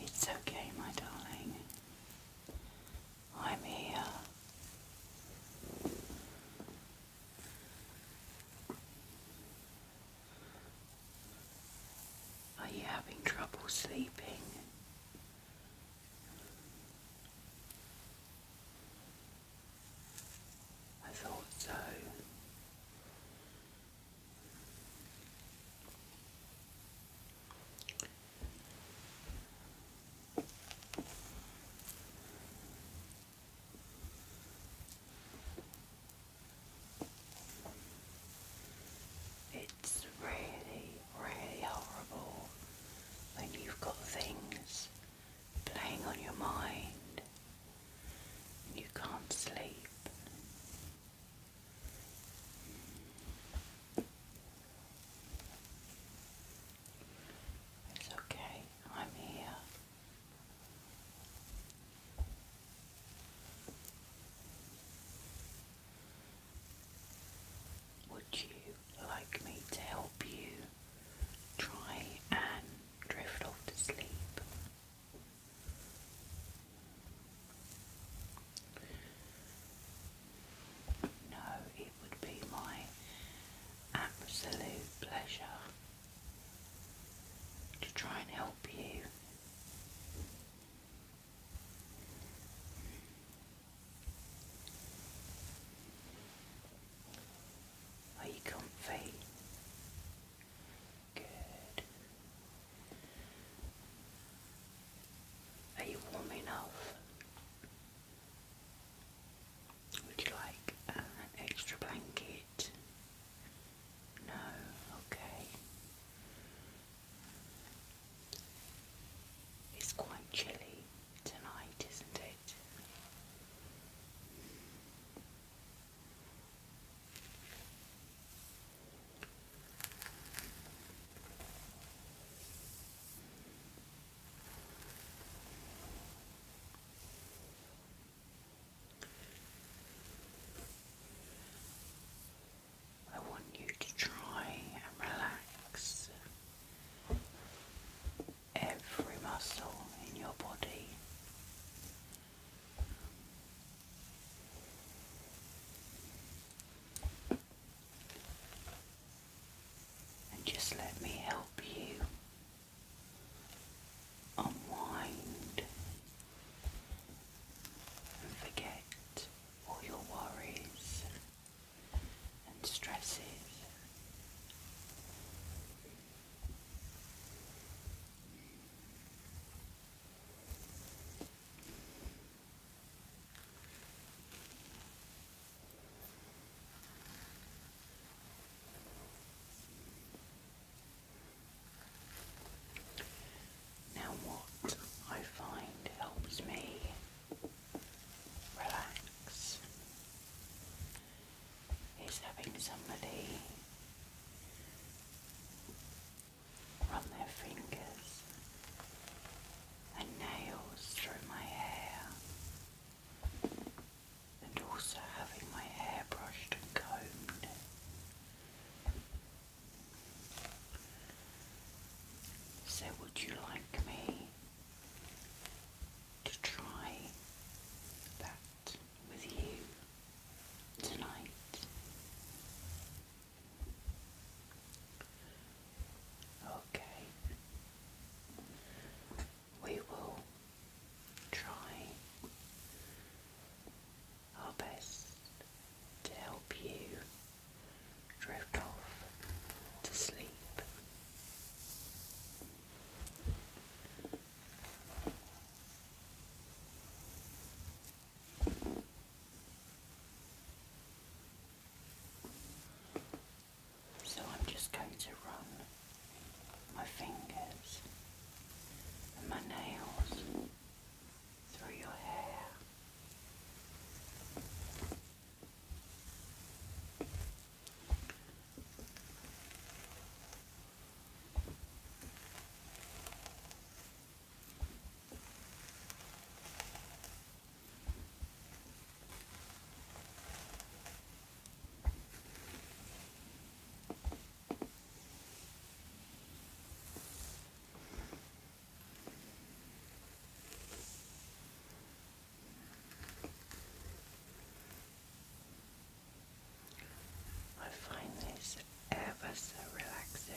It's okay, my darling. I'm here. Are you having trouble sleeping? I thought so. It's really, really horrible when you've got things playing on your mind and you can't sleep. It's okay. I'm here. Would you like me to help you try and drift off to sleep? No, it would be my absolute pleasure to try and help you. Are you comfy? Good. Are you warm enough? Would you like uh, an extra blanket? No, okay. It's quite chilly tonight, isn't it? I want you to try and relax every muscle in your body. And just let me help you unwind and forget all your worries and stresses. Now, what I find helps me relax is having somebody run their fingers and nails through my hair and also having my hair brushed and combed. So, would you like me to try that with you tonight? Okay we will try our best to help you drift off to sleep. So I'm just going to run my fingers and my nails through your hair. I find this ever so relaxing.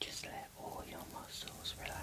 Just let all your muscles relax.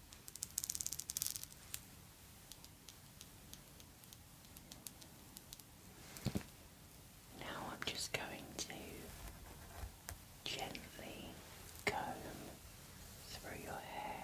Now I'm just going to gently comb through your hair.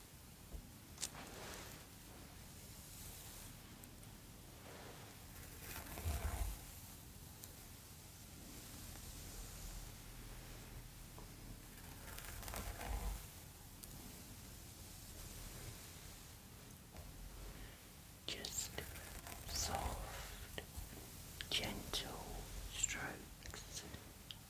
Just soft, gentle strokes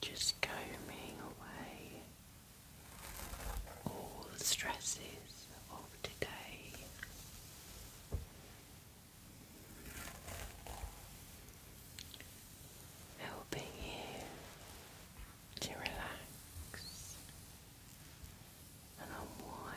Just combing away all the stresses of today helping you to relax and unwind.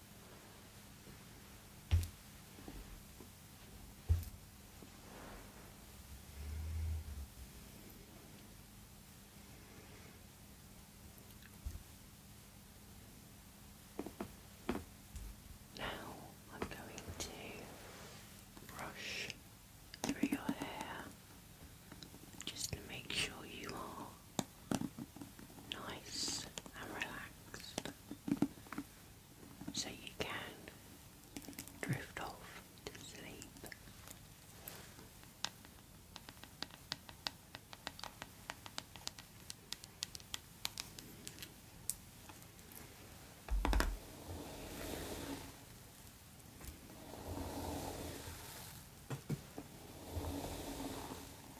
Now I'm going to brush through your hair just to make sure you are nice and relaxed so you can drift off to sleep.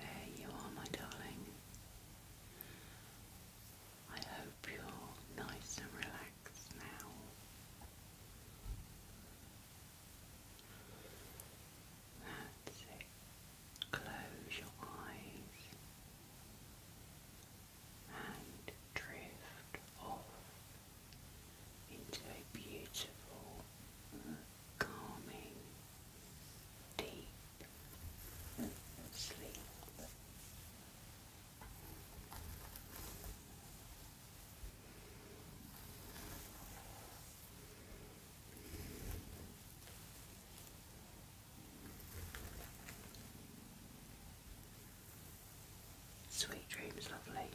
There you are, my darling. I hope you're nice and relaxed. Close your eyes and drift off into a beautiful, calming, deep sleep. Sweet dreams, lovely.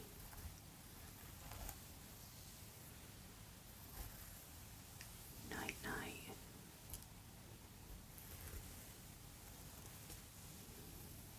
Night, night.